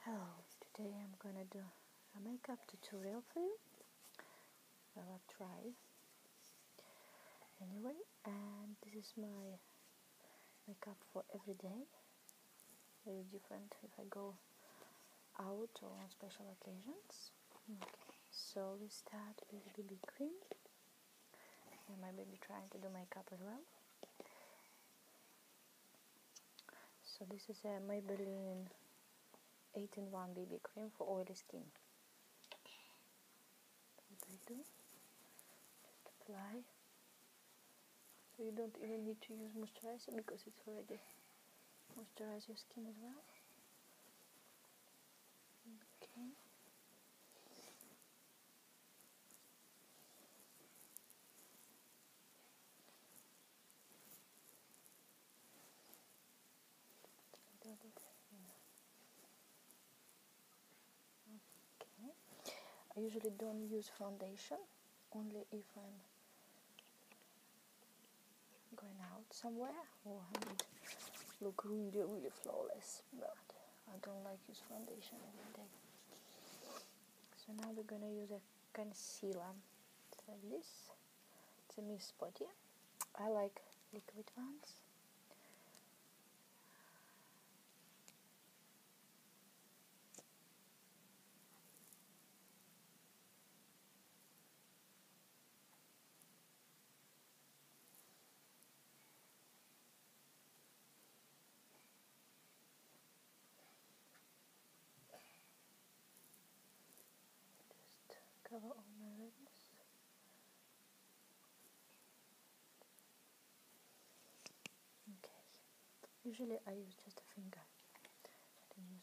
Hello, today I'm gonna do a makeup tutorial for you. I'll try anyway, and this is my makeup for every day. Very different if I go out or on special occasions so we start with BB cream. And my baby trying to do makeup as well. So this is my Maybelline 8-in-1 BB cream for oily skin. What apply. So you don't even need to use moisturizer because it's already moisturize your skin as well. Okay. I usually don't use foundation, only if I'm going out somewhere or look really, really flawless, but I don't like use foundation every day. So now we're gonna use a concealer. It's like this. It's a Miss Body. I like liquid ones. Just cover all my Okay. Usually I use just a finger. I don't use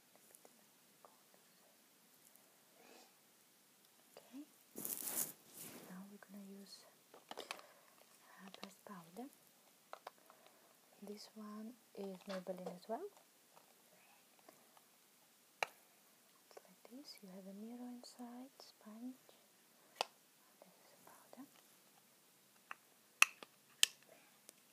Okay. Now we're gonna use uh, powder. This one is Maybelline as well. It's like this. You have a mirror inside, sponge. This is powder.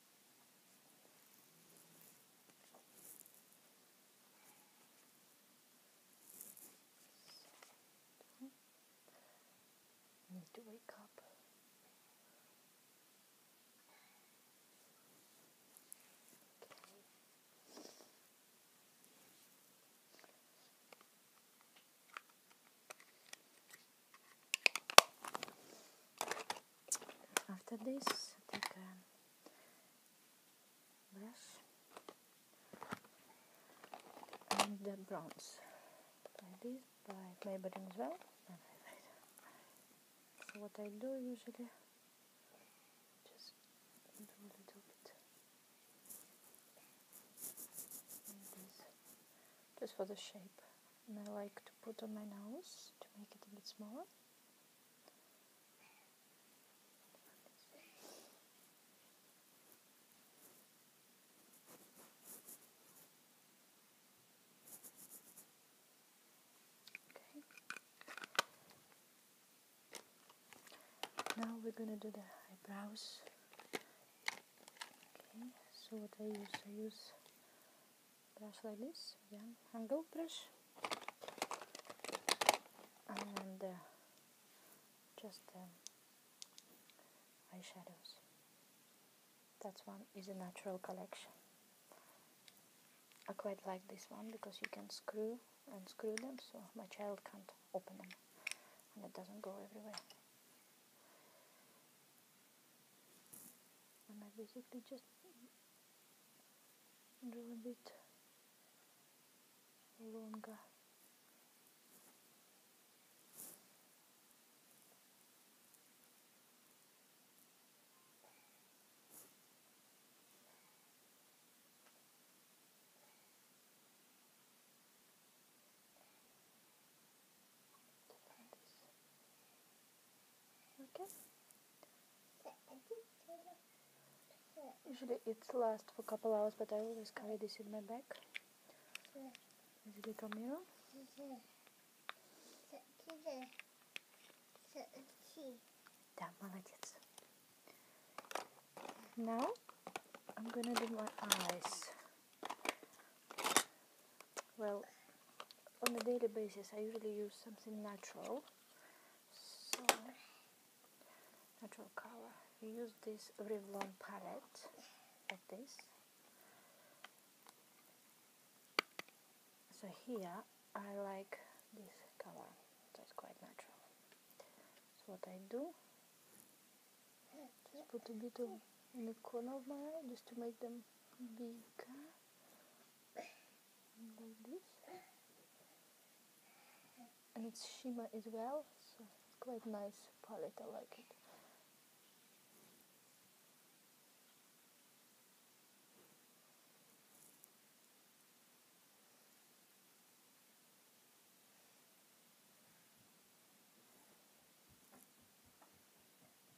So, I need to wake up. Okay. After this, take a brush and the bronze like this by Maybelline as well so what I do usually just do a just for the shape and I like to put on my nose to make it a bit smaller now we're gonna do the eyebrows. Okay, so what I use, I use brush like this again angle brush and uh, just um, eyeshadows That's one is a natural collection I quite like this one because you can screw and screw them so my child can't open them and it doesn't go everywhere and I basically just a little bit longer. Okay. Usually it lasts for a couple hours, but I always carry this in my bag. This little mirror. Да, молодец. Now I'm gonna do my eyes. Well, on a daily basis, I usually use something natural. So, natural color. use this Revlon palette like this. So here I like this color. That's quite natural. So what I do, just put a bit of in the corner of my eye just to make them bigger like this and it's shimmer as well so it's quite nice palette I like it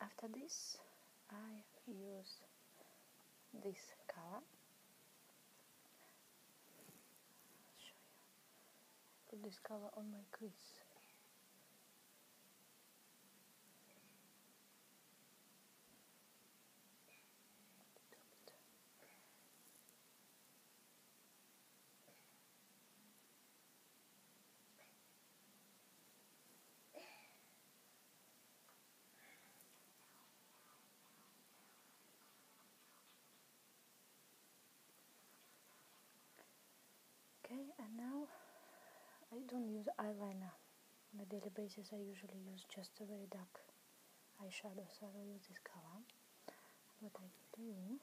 After this, I use this color. Put this color on my crease. Okay, and now I don't use eyeliner on a daily basis. I usually use just a very dark eyeshadow, so I don't use this color. What I do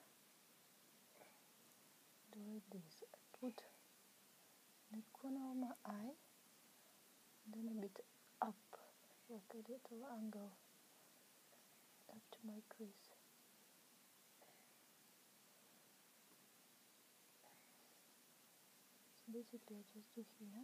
do like this. I put the corner of my eye, then a bit up, like a little angle, up to my crease. basically I just do here.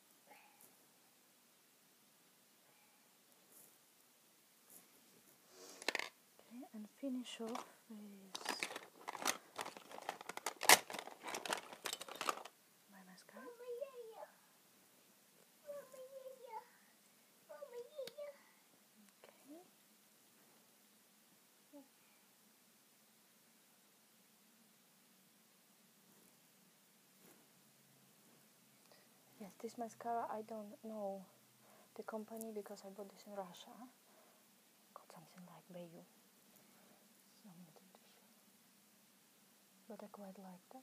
Okay, and finish off with my mascara. Yes, this mascara I don't know the company because I bought this in Russia. Got something like Bayou. But I quite like that.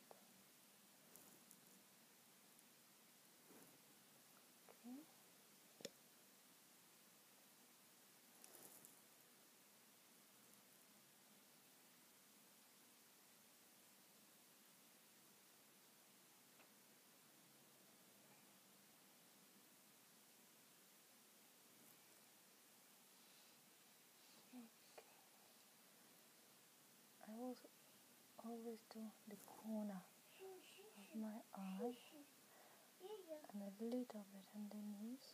I will always do the corner of my eye and a little bit underneath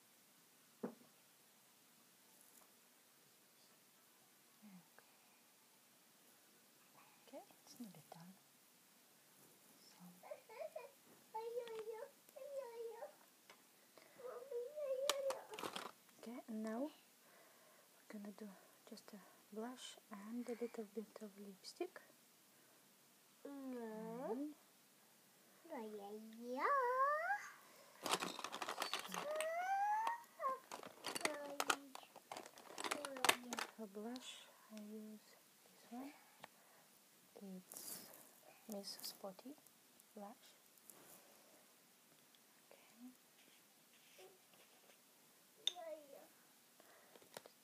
Okay, it's nearly done. Okay, now we're gonna do just a blush and a little bit of lipstick. Mm-hmm. Yeah. For blush, I use this one. It's Miss Spotty blush. Okay.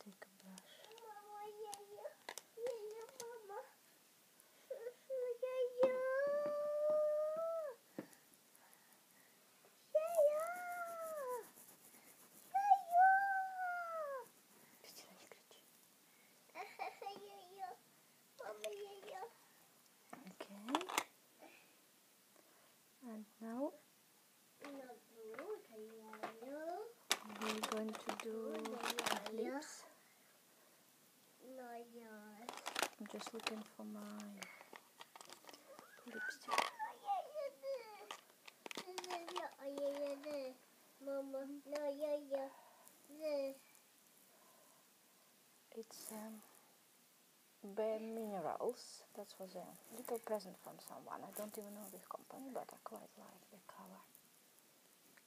Take a blush. Okay. And now we're going to do lips. Not yours. I'm just looking for my lipstick. Mama, no, yeah, yeah, yeah. It's um, Bare Minerals. That was a little present from someone. I don't even know this company, but I quite like the color.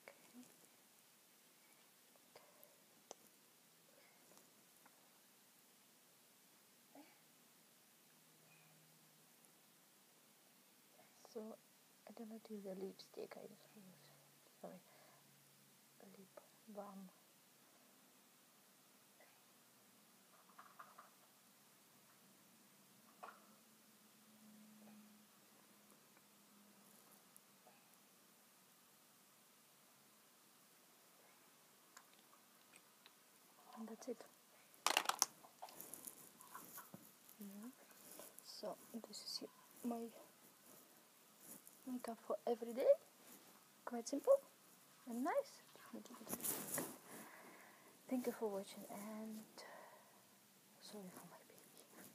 Okay. So I don't know to use a lipstick. I just use sorry lip balm and that's it so this is my makeup for every day quite simple and nice thank you for watching and sorry for my baby